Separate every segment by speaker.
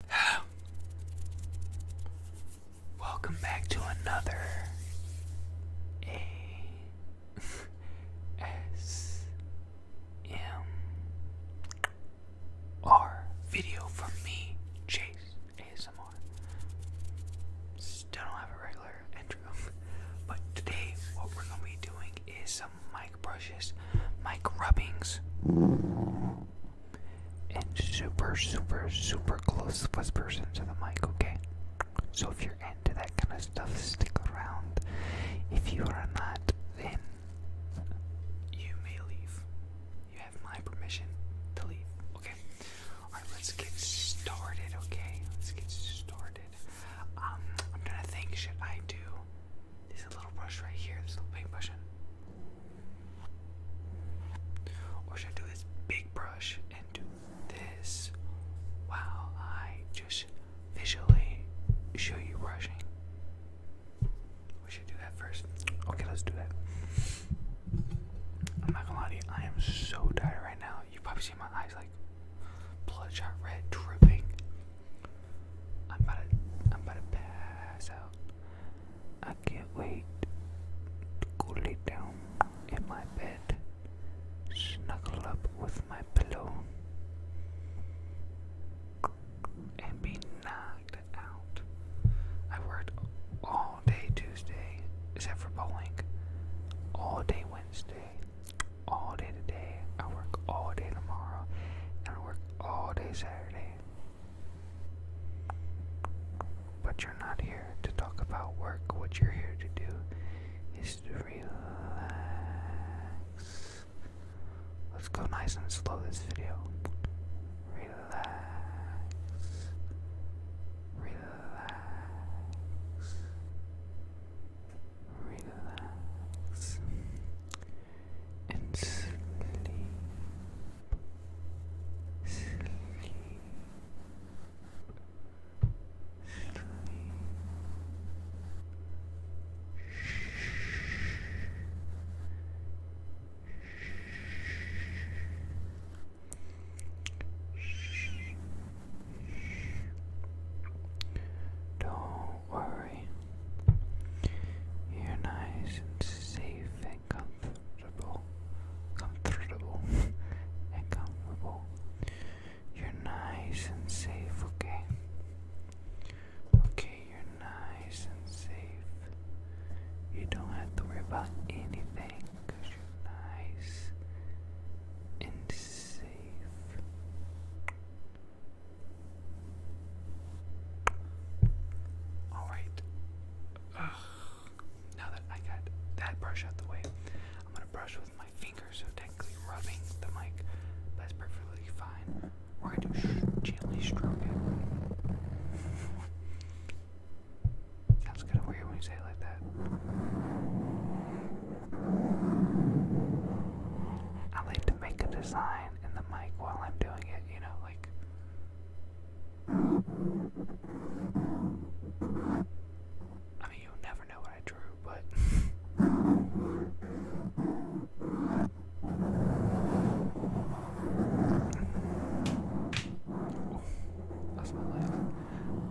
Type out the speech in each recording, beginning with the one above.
Speaker 1: Welcome back to another A S M R video from me, Chase ASMR. Still don't have a regular intro, but today what we're gonna be doing is some mic brushes, mic rubbings and super, super, super close whispers into the mic, okay? So if you're into that kind of stuff, stick around. If you are not, then you may leave. You have my permission to leave, okay? Alright, let's get started, okay? Let's get started. Um, I'm trying to think, should I do there's a little brush right here, this little paintbrush. Or should I do this big brush and do this while I just visually show you brushing? We should do that first. Okay, let's do that. I'm not gonna lie to you, I am so tired right now. You probably see my eyes like bloodshot red dripping. I'm about to I'm about to pass out. I can't wait to go it down in my bed, snuggle up with my pillow, and be knocked out. I worked all day Tuesday, except for bowling, all day Wednesday, all day today. I work all day tomorrow, and I work all day Saturday. But you're not here to talk about work. What you're here to do is to relax. Let's go nice and slow this video. Relax. Relax. Relax and sleep, sleep, sleep. Don't don't worry. You're nice and safe and comfortable. Comfortable and comfortable. You're nice and safe, okay? Okay, you're nice and safe. You don't have to worry about anything because you're nice and safe. Alright. Now that I got that brush out the way, I'm gonna brush with my fingers, so technically rubbing the mic, that's perfectly fine. We're gonna do gently stroke it. Sounds kinda weird when you say it like that. I like to make a design line and the mic while I'm doing it, you know, like. I mean, you never know what I drew, but. That's my life.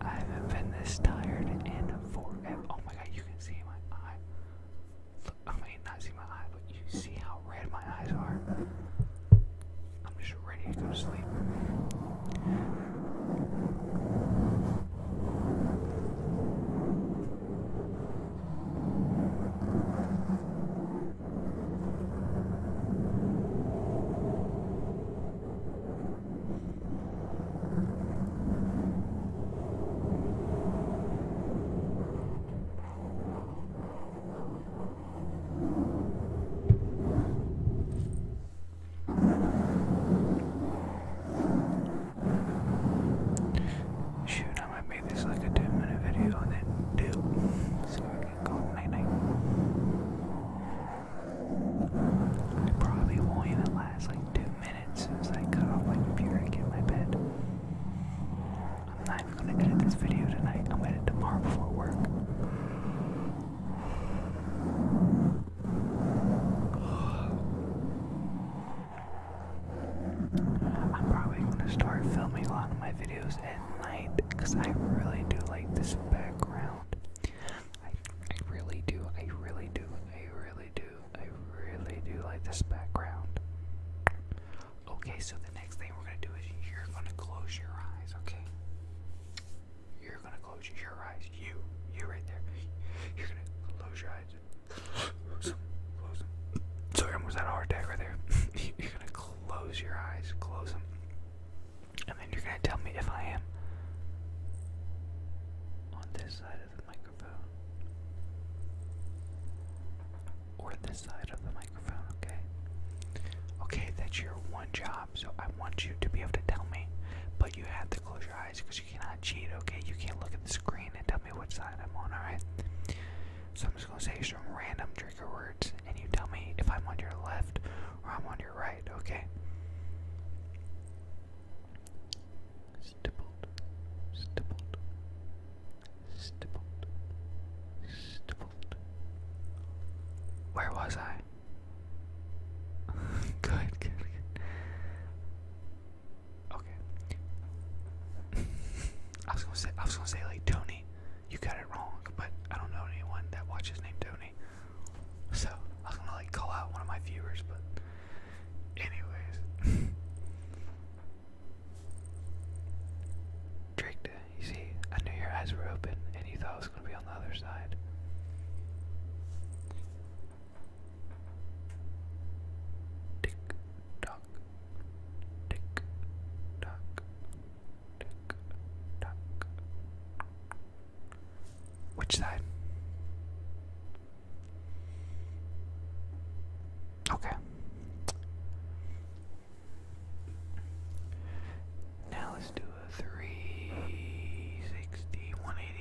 Speaker 1: I haven't been this tired in forever. Oh my god, you can see my eye. I may not see my eye, but you see how red my eyes are. I'm just ready to go to sleep. Shoot, I might make this like a 2 minute video and then do probably won't even last like 2 as soon as I cut off my computer and get in my bed. I'm not even gonna edit this video tonight. I'm gonna edit tomorrow before work. I'm probably gonna start filming a lot of my videos at night because I really do like this background. I I really do, I really do, I really do. I really do like this background. Okay, so the next thing we're gonna do is you're gonna close your eyes, okay? You're gonna close your eyes. You, you right there. You're gonna close your eyes. So, Close them. Sorry, I was had a heart attack right there. you're gonna close your eyes. Close them. And then you're gonna tell me if I am on this side of the mic. Or this side of the microphone, okay? Okay, that's your one job, so I want you to be able to tell me, but you have to close your eyes because you cannot cheat, okay? You can't look at the screen and tell me which side I'm on, alright? So I'm just gonna say some random trigger words, and you tell me if I'm on your left or I'm on your right, okay? stippled, stippled, stippled, stippled. Where was I? good, good, good. Okay. I was gonna say, I was gonna say like Tony, you got it wrong, but I don't know anyone that watches named Tony. So I was gonna like call out one of my viewers, but Anyways. Tricked, you see, I knew your eyes were open and you thought it was going to be on the other side. Tick tock, tick tock, tick tock. Which side? Okay. Now let's do a 360,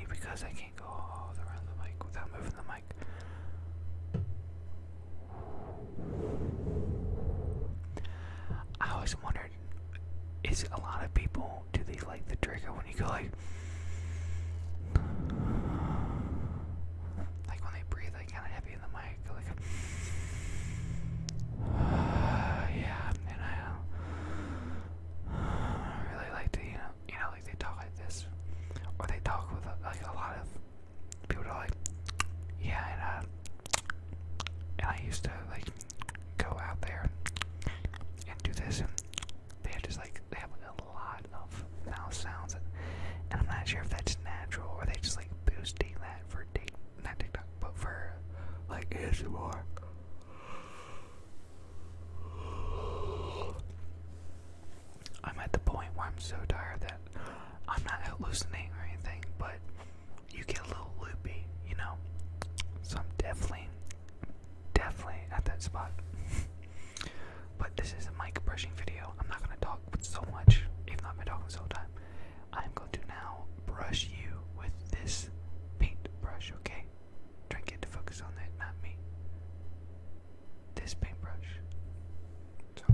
Speaker 1: because I can't go all around the mic without moving the mic. I always wondered, is a lot of people do they like the trigger when you go like like like when they breathe like kinda heavy in the mic like uh, yeah and I uh, really like to you know you know like they talk like this or they talk with uh, like a lot of people are like yeah and I uh, and I used to like go out there and do this and they have just like they have like, a lot of mouth sounds, and, I'm not sure if that's natural or they just like boosting that for Tik, TikTok, but for like ASMR. I'm at the point where I'm so tired that I'm not hallucinating or anything, but you get a little loopy, you know. So I'm definitely definitely at that spot. but this is a mic brushing video. I'm not gonna talk so much, If not i been talking so whole time. I'm going to now brush you with this paint brush, okay? Try and get to focus on that, not me. This paintbrush. So.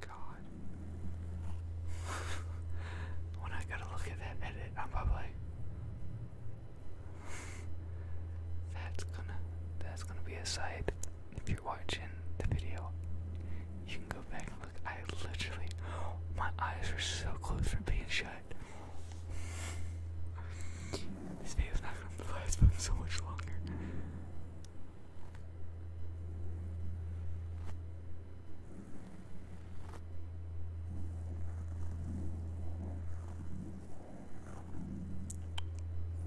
Speaker 1: god. when I gotta look at that edit, I'm probably. that's gonna that's gonna be a sight. If you're watching the video, you can go back and look. I literally my eyes are so close from being shut. This video's not gonna last so much longer.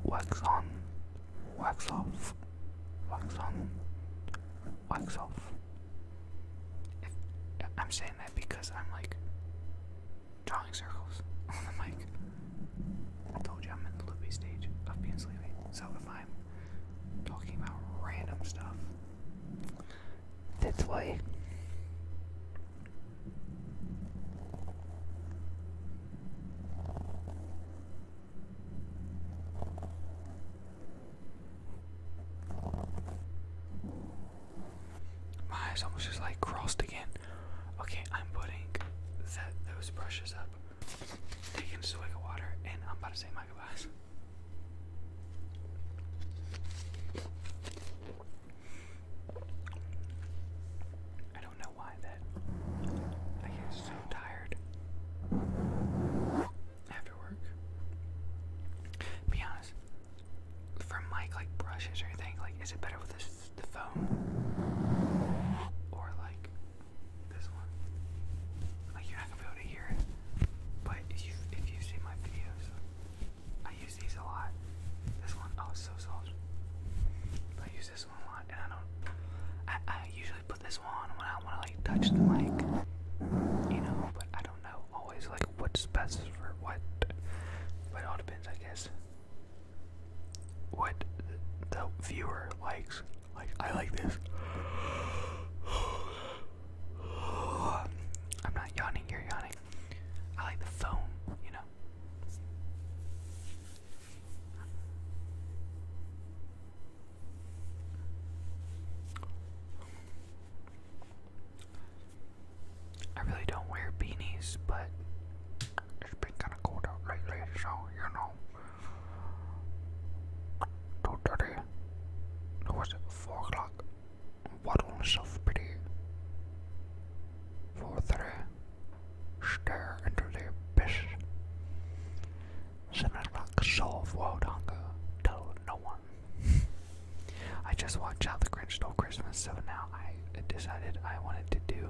Speaker 1: Wax on, wax off, wax on, wax off. I'm saying that because I'm like drawing circles on the mic. I told you I'm in the loopy stage of being sleepy. So if I'm talking about random stuff, that's why. My eyes almost just like crossed again. Okay, I'm putting those brushes up taking a swig of water, and I'm about to say my goodbyes. I don't know why that I get so tired after work. Be honest, for mic like brushes or anything, like is it better with the phone or like this one. Like you're not gonna be able to hear it. But if you if you've my videos, I use these a lot. This one, oh, so soft. I use this one a lot, and I don't. I, I usually put this one when I want to like touch the mic, you know. But I don't know always like what's best for what. But it all depends, I guess what the viewer likes. Like I like this. I'm not yawning, you're yawning. I like the phone, you know. I really don't wear beanies, but it's been kind of cold out lately, so you know. Two thirty. it was Four o'clock. What on self pity? Four thirty. Stare into the abyss. Seven o'clock. Solve world hunger. Tell no one. I just watched out the Grinch Stole Christmas, so now I decided I wanted to do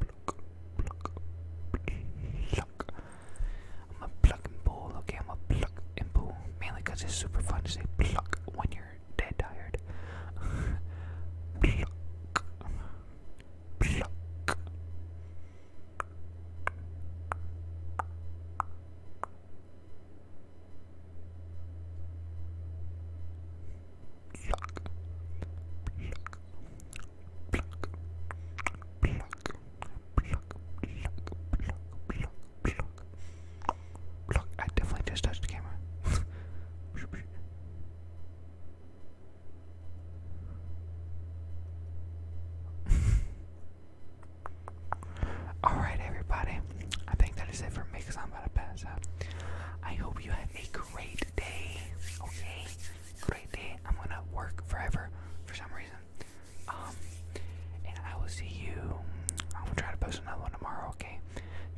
Speaker 1: pluck, pluck, pluck. I'm a pluck and pull, okay? I'm a pluck and pull. Mainly because it's super fun to say pluck when you're dead tired. pluck, pluck. Pluck, pluck, I definitely just touched the camera. Alright, everybody. I think that is it for me because I'm about to pass out. I hope you have a great day. Okay? great day. I'm gonna work forever for some reason. Um, and I will see you. I will try to post another one tomorrow. Okay.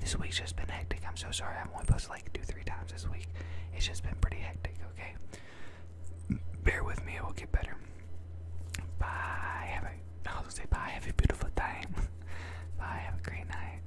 Speaker 1: This week's just been hectic. I'm so sorry. I've only posted like two, three times this week. It's just been pretty hectic. Okay. Bear with me. It will get better. Bye. Have a. I was say bye. Have a beautiful time. bye. Have a great night.